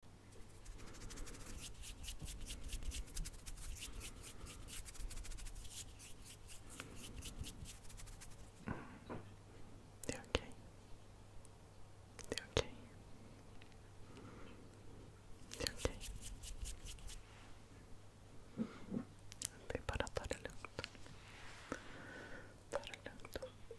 De okay, de okay, de okay, de para para para el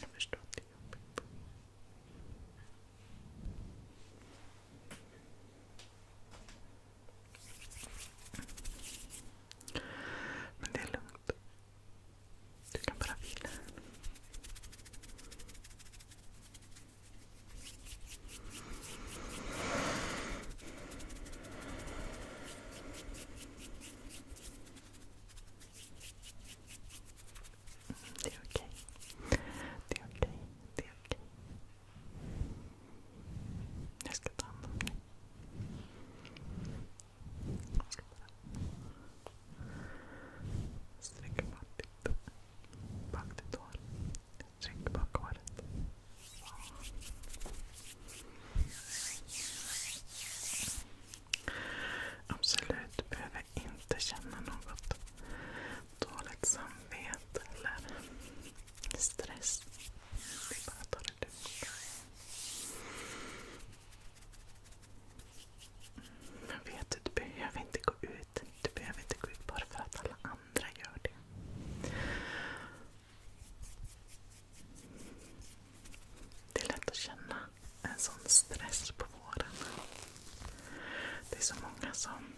Jag förstår att det är jobbigt. Men det är lugnt. Du kan bara vila. They're okay. they okay. they okay. Let's get down. Let's get down. Let's think about Baktigt. Baktigt hår. Tryck bak håret. Så. Absolut, du behöver inte känna något dåligt samvete eller stress. Vi bara tar det lugnt. Men vet du, du behöver inte gå ut. Du behöver inte gå ut bara för att alla andra gör det. Det är lätt att känna en sån stress på våren. Det är så många som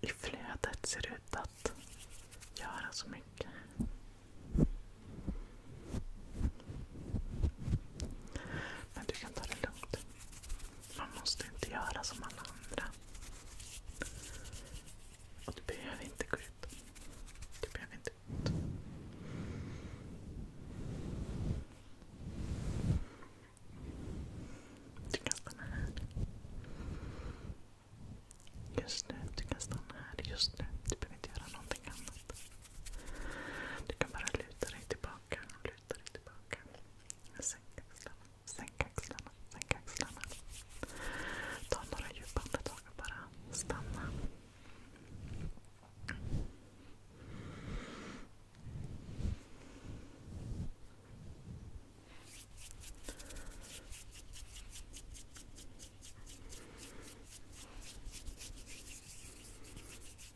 i flödet ser ut att göra så mycket. Men du kan ta det lugnt. Man måste inte göra som alla andra. Och du behöver inte gå ut. Du behöver inte gå ut. Du kan stanna här. Just nu. Du kan stanna här just nu. Du behöver inte göra någonting annat. Du kan bara luta dig tillbaka luta dig tillbaka. Sänk axlarna, sänk axlarna, sänk axlarna. Ta några djupa andetag och bara stanna.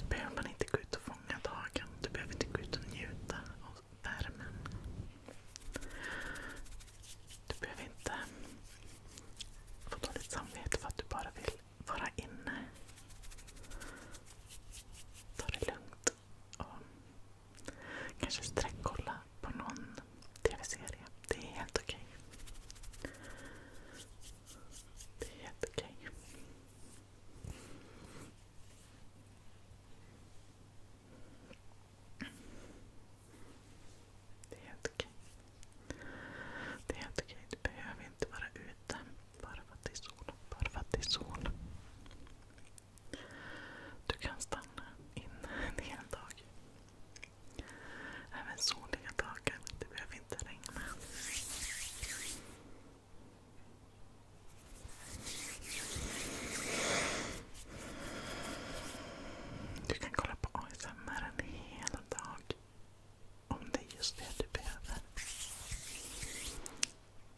Då behöver man inte gå ut och fånga dagen. Du behöver inte gå ut och njuta av värmen. Du behöver inte få dåligt samvete för att du bara vill vara inne. Ta det lugnt. Och kanske sträckkolla på någon tv-serie. Det är helt okej. Okay. Det är helt okej. Det är helt okej. Det är helt okej. Du behöver inte vara ute bara för att det är sol. Bara för att det är sol. Du kan stanna inne en hel dag. Även soliga dagar. Det behöver inte regna. Du kan kolla på ASMR en hel dag. Om det är just det du behöver.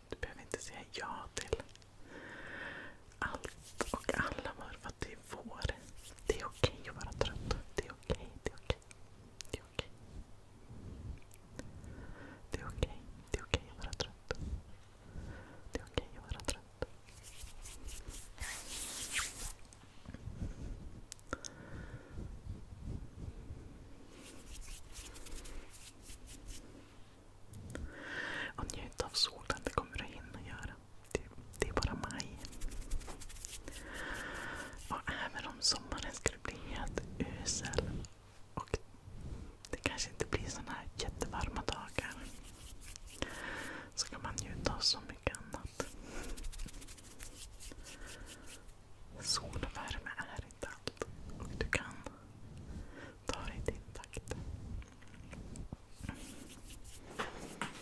Du behöver inte säga ja till allt och alla bara för att det är vår. Det är okej okay att vara trött. Det är okej. Okay, det är okej. Det är okej. Det är okej. att vara trött. Det är okej att vara trött. Och njut av solen, det kommer du hinna göra. Det det är bara maj. Och även om sommaren skulle bli helt usel och det kanske inte blir såna här jättevarma dagar så kan man njuta av så mycket annat. Sol och värme är inte allt. Och du kan ta dig din takt.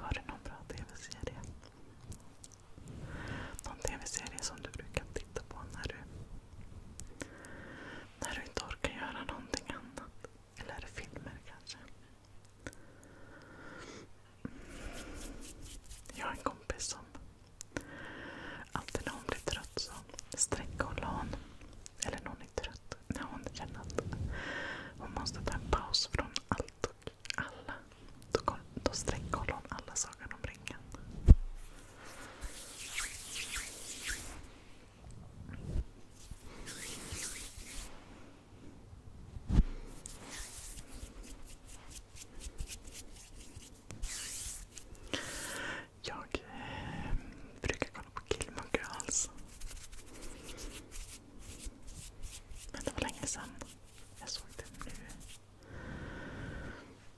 Har du någon bra tv-serie? Någon tv-serie som du brukar titta på när du när du inte orkar göra någonting annat. Eller filmer kanske. Jag har en kompis som alltid när hon blir trött så sträcker hon lån. Eller när hon är trött. När hon känner att hon måste ta en paus från allt och alla. Då, då sträcker hon alla Sagan om ringen. Jag eh, brukar kolla på Gilmore Girls. Men det var länge sedan. Jag såg den nu.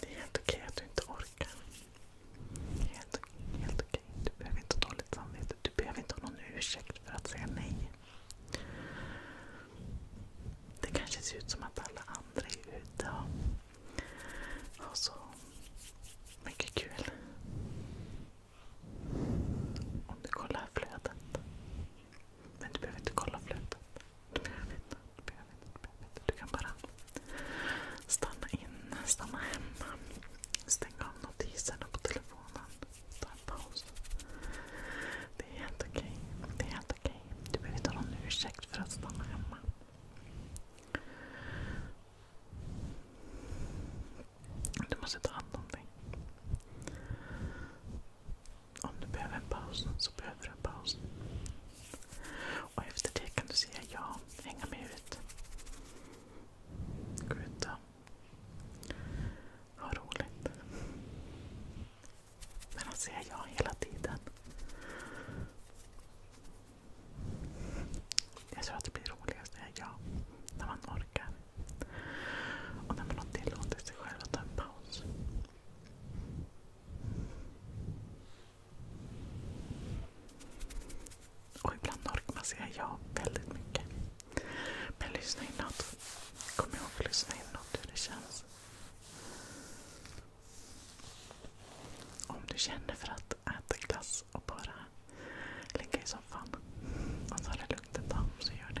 Det är helt okej att du inte orkar. Helt, okej. Du behöver inte ha dåligt samvete. Du behöver inte ha någon ursäkt för att säga nej. Det kanske ser ut som att alla andra är ute och, och så mycket kul. Om du kollar flödet. Men du behöver inte kolla flödet. Du behöver inte. Du, behöver inte, du, behöver inte. du kan bara stanna in, stanna hemma. Stäng av notiserna på telefonen. Ta en paus. Det är helt okej. Det är helt okej. Du behöver inte ha någon ursäkt för att stanna hemma. Du måste ta hand om dig. Om du behöver en paus så behöver du en paus. Och efter det kan du säga ja, hänga med ut. Gå ut och ha roligt. Men att säga ja hela tiden. Jag tror att det blir roligast när jag ja. När man orkar. Och när man har tillåtit sig själv att ta en paus. Och ibland orkar man säga ja väldigt mycket. Men lyssna inåt. Kom ihåg att lyssna inåt hur det känns. Om du känner för att att äta glass och bara ligga i soffan och ta det lugnt ett tag. Så gör det.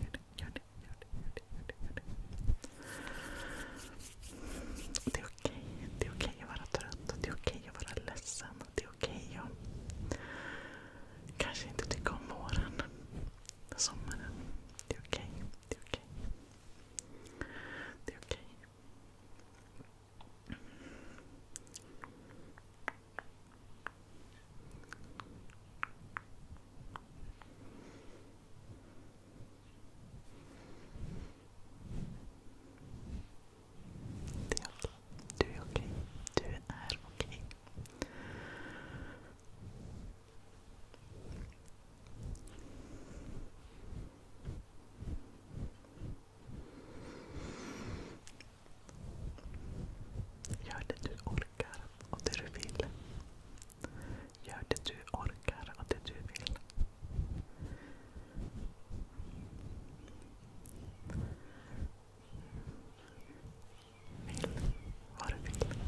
Gör det, gör det, gör det, gör det, gör det, gör det. Det är okej. Det är okej att vara trött. Det är okej att vara ledsen. Det är okej att kanske inte tycka om våren. Sommaren. Det är okej. Det är okej. Det är okej. Det är okej. Du är okej. Du är okej. Gör det du orkar och det du vill. Gör det du orkar och det du vill. Vill vad du vill.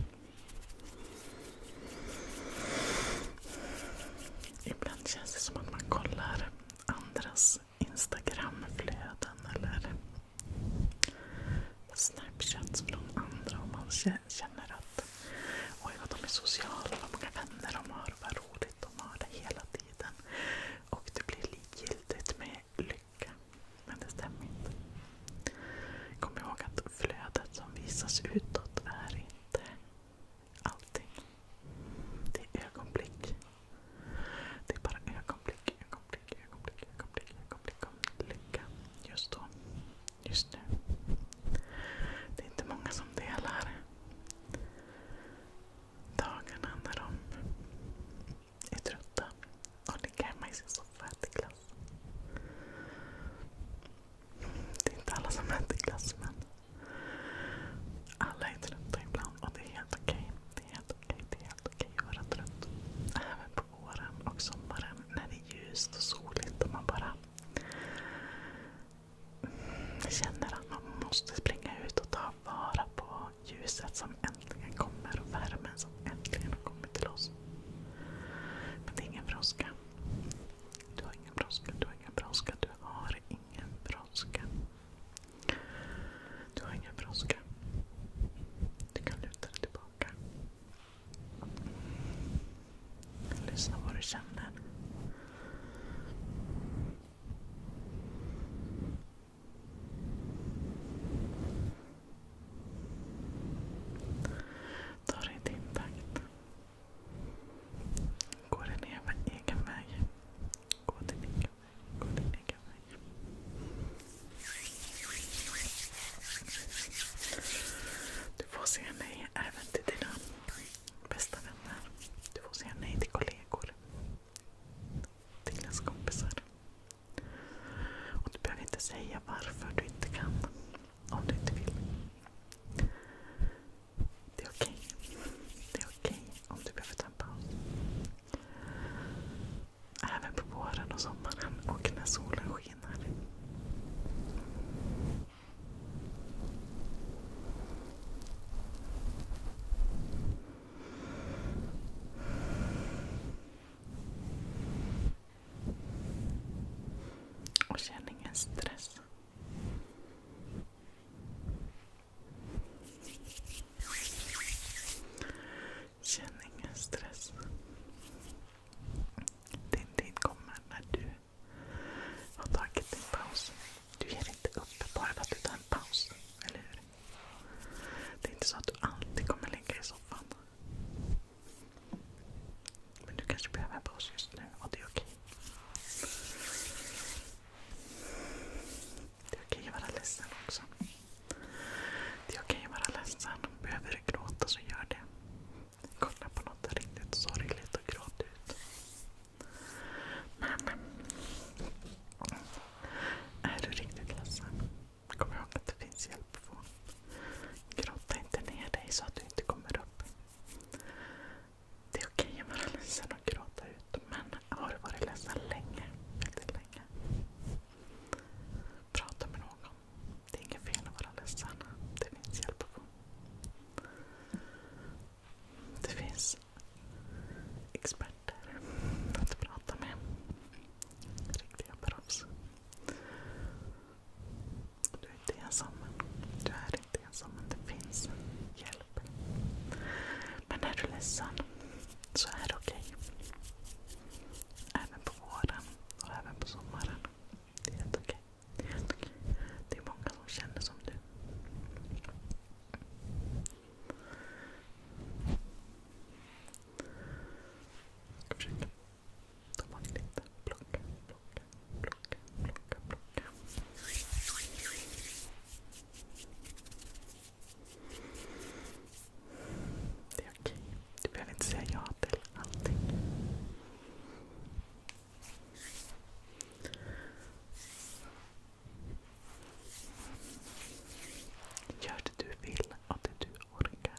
Ibland känns det som att man kollar andras Instagramflöden eller Snapchats från andra om man känner att oj vad de är sociala, vad många vänner de har, vad roligt de har det hela tiden. Och det blir likgiltigt med lycka. Men det stämmer inte. Kom ihåg att flödet som visas utåt är inte Allting. Det är ögonblick. Det är bara ögonblick, ögonblick, ögonblick, ögonblick, ögonblick lycka just då. Just nu. Det är inte många som delar dagarna när de är trötta och ligger hemma i sin soffa och äter glass. Det är inte alla som äter glass men alla är trötta ibland och det är helt okej. Det är helt okej, att vara trött. Även på våren och sommaren när det är ljust och soligt och man bara känner att man måste springa ut och ta vara på ljuset som äntligen kommer och värmen som äntligen har kommit till oss. Men det är ingen brådska. Du har ingen brådska, du har ingen brådska. Du har ingen brådska. Du har ingen brådska. Du kan luta dig tillbaka. Lyssna vad du känner. Ta dig din takt. Gå din egen väg. Gå din egen väg. Du får säga nej även till dina bästa vänner. Du får säga nej till kollegor. Till dina kompisar. Och du behöver inte säga varför du inte kan. Om du inte vill. Det är okej. Det är okej om du behöver ta en paus. Även på våren och sommaren och när solen skiner. Och känn ingen stress. Känn ingen stress. Din tid kommer när du har tagit din paus. Du ger inte upp bara för att du tar en paus. Eller hur? Det är inte så att du alltid kommer ligga i soffan. Men du kanske behöver en paus just nu och det är okej. Det är okej att vara ledsen också. Det är okej att vara ledsen. Behöver du gråta så gör det. Kolla på något riktigt sorgligt och gråt ut. Men är du riktigt ledsen, kom ihåg att det finns hjälp att få. Gråta inte ner dig så att du inte kommer upp. Det är okej att vara ledsen och gråta ut. Men har du varit ledsen länge, väldigt länge, prata med någon. Det är inget fel att vara ledsen. Det finns hjälp att få. Det finns experter att prata med. Riktiga proffs. Du är inte ensam. Du är inte ensam, det finns hjälp. Men är du ledsen så är det okej. Även på våren och även på sommaren. Det är helt okej. Det, är många som känner som du. Jag ska försöka ta bort lite. Plocka, plocka, plocka, plocka, plocka. Det är okej. Du behöver inte säga ja till allting. Gör det du vill och det du orkar.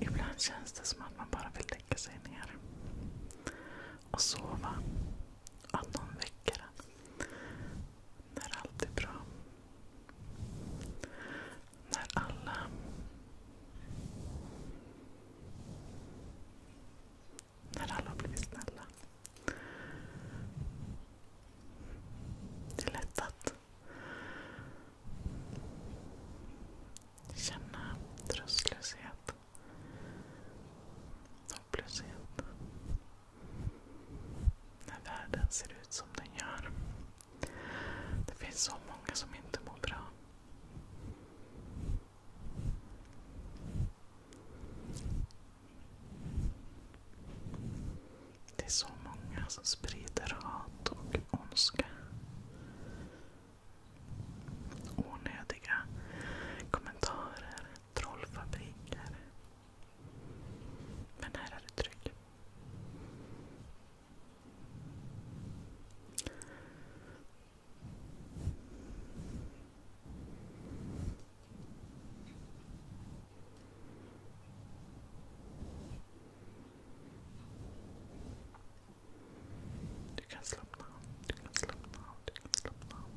Ibland känns det som att man bara vill lägga sig ner och sova. Att någon väcker en. När allt är bra. När alla har blivit snälla. Det är lätt att känna tröstlöshet, hopplöshet. När världen ser ut som den gör. Det finns så många som inte mår bra. Det är så många som sprider hat och ondska. Onödiga kommentarer, trollfabriker. Men här är det trygg. Du kan slappna av, du kan slappna av, du kan slappna av.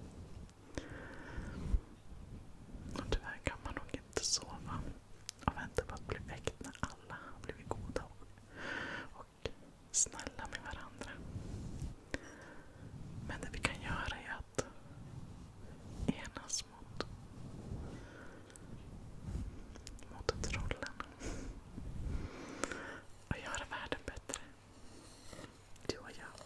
Och tyvärr kan man nog inte sova och väntar på att bli väckt när alla har blivit goda och, och snälla med varandra. Men det vi kan göra är att enas mot, mot trollen och göra världen bättre. Du och jag.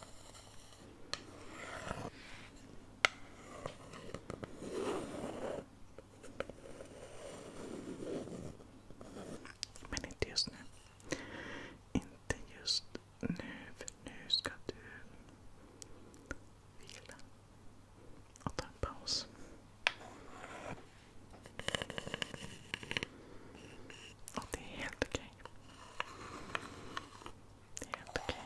Men inte just nu. Inte just nu, för nu ska du vila och ta en paus. Och det är helt okej. Det är helt okej.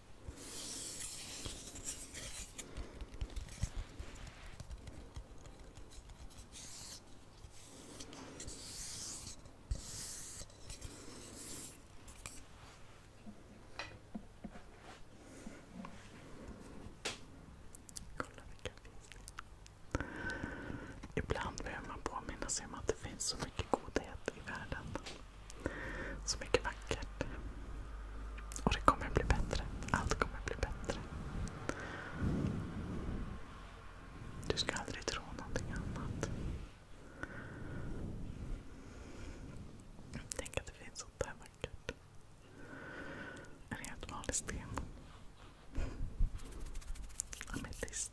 Kolla vilka finns Ibland behöver man påminna sig om att det finns så mycket godhet i världen. Så mycket vackert. Och det kommer bli bättre. Allt kommer bli bättre. Du ska aldrig tro någonting annat. Tänk att det finns sånt där vackert. En helt vanlig sten. Ametist.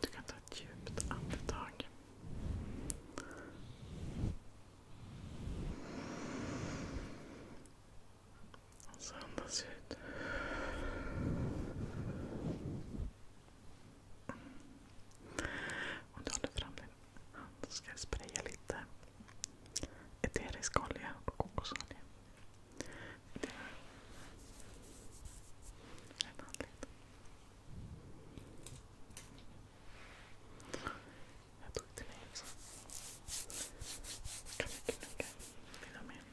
Du kan ta ett djupt andetag. Och så andas ut. Om du håller fram din hand så ska jag spraya lite eterisk olja och kokosolja. Det är en handled. Jag tog till mig också. Kan jag knugga mina med?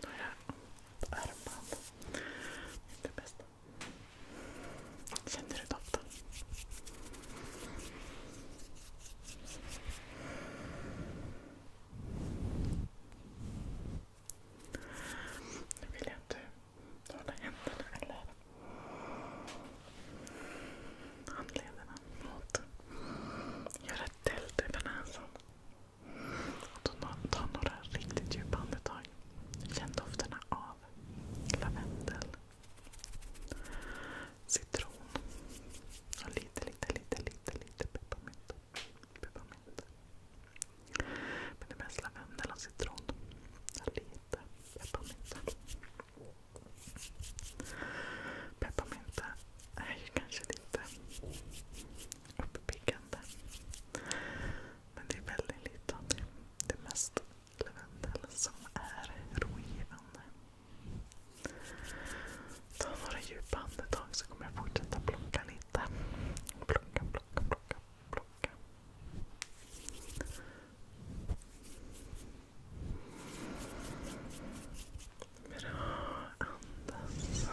Då är det här. Armband. Känner du doften? Nu vill jag att du håller händerna eller handlederna mot. Gör ett tält över näsan. ta några riktigt djupa andetag. Känn dofterna av lavendel, citron och lite, lite, lite, pepparmint. pepparmint. Men det är mest lavendel och citron. Lite pepparmint. Pepparmynta är ju kanske lite uppiggande. Men det är väldigt lite av det, det mest lavendel som är rogivande. Ta några djupa andetag så kommer jag fortsätta plocka lite. Plocka, plocka, plocka, plocka. Bra, andas.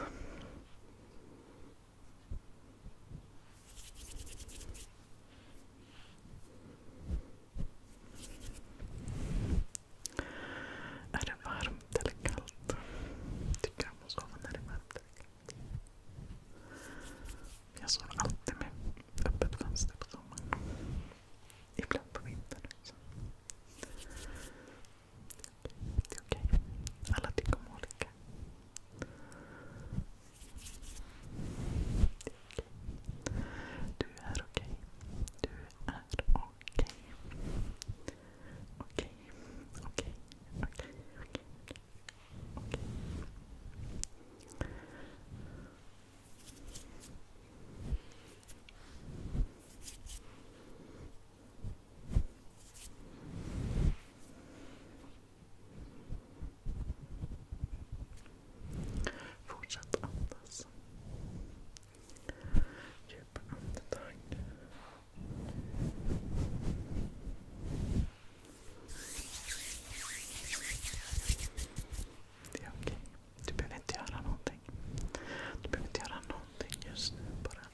Är det varmt eller kallt? Tycker om att sova när det är varmt eller kallt. Jag sov alltid med öppet fönster på sommaren. Ibland på vintern också. Det är okej. Okay. Alla tycker om olika. Det är okej. Okay. Du är okej. Okay. Du är okej. Okej, okej, okej, okej. Okej. Fortsätt andas. Djupa andetag. Det är okej. Okay. Du behöver inte göra någonting. Du behöver inte göra någonting just nu. Bara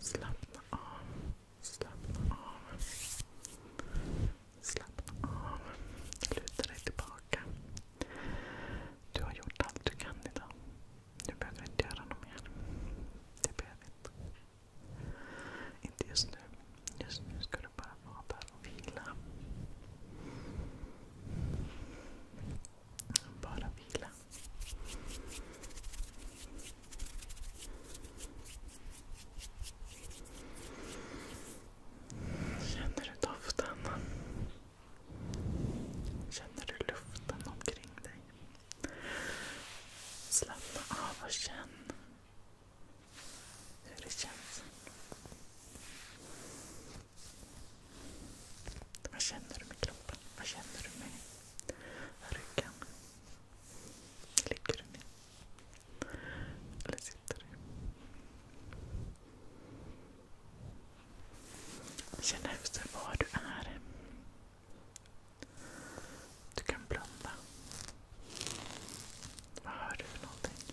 slappna av. Slappna av. Slappna av. Luta dig tillbaka. Du har gjort allt du kan idag. Du behöver inte göra något mer. Det behöver inte. Inte just nu. Just nu ska du bara vara där och vila. Bara vila. Känner du doften? Känner du luften omkring dig? Slappna av och känn hur det känns. Vad känner du med kroppen? Vad känner du med ryggen? Ligger du ner? Eller sitter du? Känn efter var du är. Du kan blunda. Vad hör du för någonting? Okej.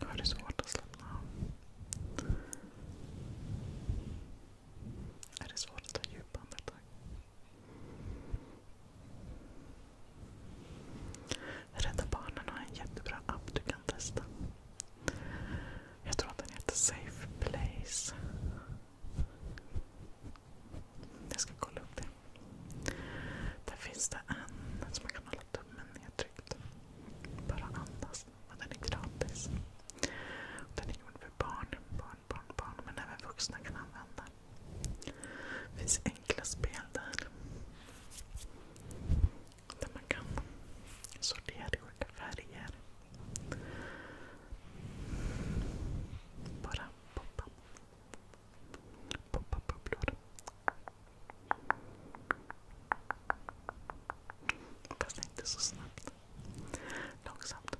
Jag har det svårt att slappna av. Är det svårt att ta djupa andetag? Rädda Barnen har en jättebra app du kan testa. Jag tror att den heter Safe Place. Jag ska kolla upp det. Där finns det en som man kan hålla tummen nedtryckt. Bara andas. Och den är gratis. Den är gjord för barn, barn, barn, barn. Men även vuxna kan använda den. Det finns enkla spel där. Där man kan sortera i olika färger. Bara poppa. Poppa bubblor. Fast inte så snabbt. Långsamt.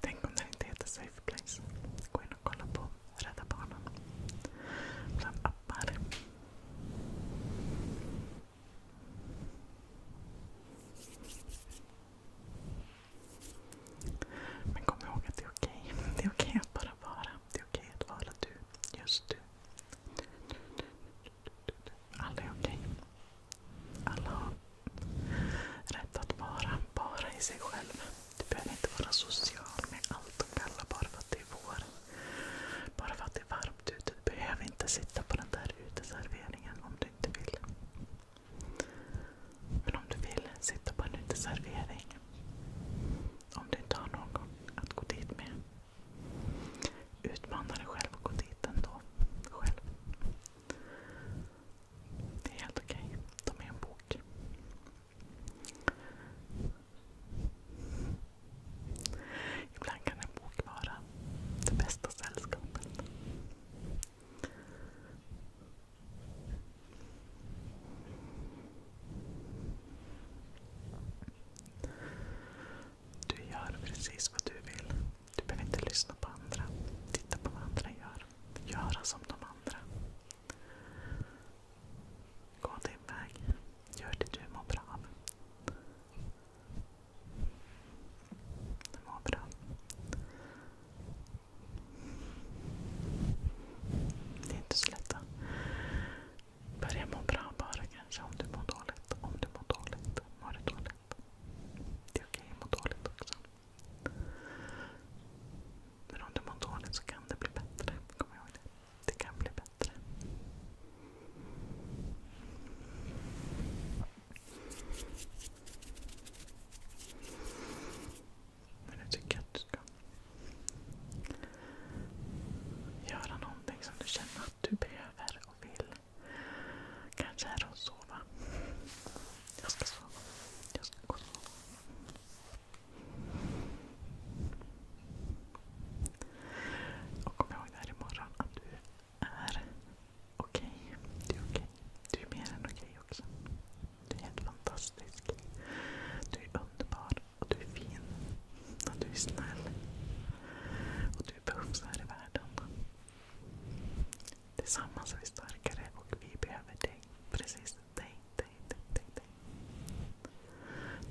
Tänk om den inte heter Safe Gå in och kolla på Rädda Barnen. Bland appar. Men kom ihåg att det är okej. Det är okej att bara vara. Det är okej att vara du. Just du. Alla är okej. Alla har rätt att vara bara i sig själv. Du behöver inte vara social med allt och alla bara för att det är vår. Bara för att det är varmt ute. Du behöver inte sitta på den där uteserveringen om du inte vill. Men om du vill sitta på en uteservering om du inte har någon att gå dit med. Utmana dig själv och gå dit ändå. Det är helt okej. Okay. De en bok. Ibland kan en bok vara det bästa sällskapet. Du gör precis vad du vill. Du behöver inte lyssna på andra. Titta på vad andra gör. Göra som de andra. Gå din väg. Gör det du mår bra av. Du mår bra. Det är inte så lätt att Börja må bra bara kanske om du mår dåligt. Om du dåligt. Det är okej att må dåligt också. Men om du mår dåligt så kan det bli bättre. Kom ihåg det. Det kan bli bättre. tycker att du ska Göra någonting som du känner att du behöver och vill. Kanske är det att sova. Jag ska sova. Jag ska gå och sova. Och kom ihåg där imorgon att du är okej. Okay. Du är okej. Okay. Du är mer än okej okay också. Du är helt fantastisk. Du är underbar. Och du är fin. Och du är snäll. Och du behövs här i världen. Tillsammans är vi starkare och vi behöver dig. Precis dig, dig, dig,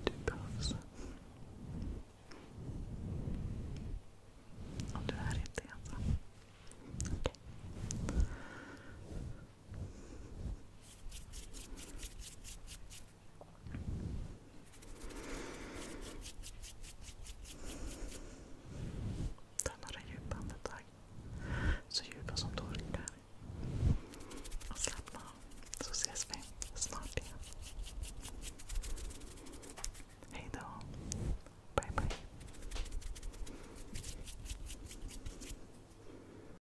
Du behövs. Och du är inte ensam. Okej. Ta några djupa andetag. Så djupa som du orkar. Och slappna av. Så ses vi snart igen. Hej då. Bye bye.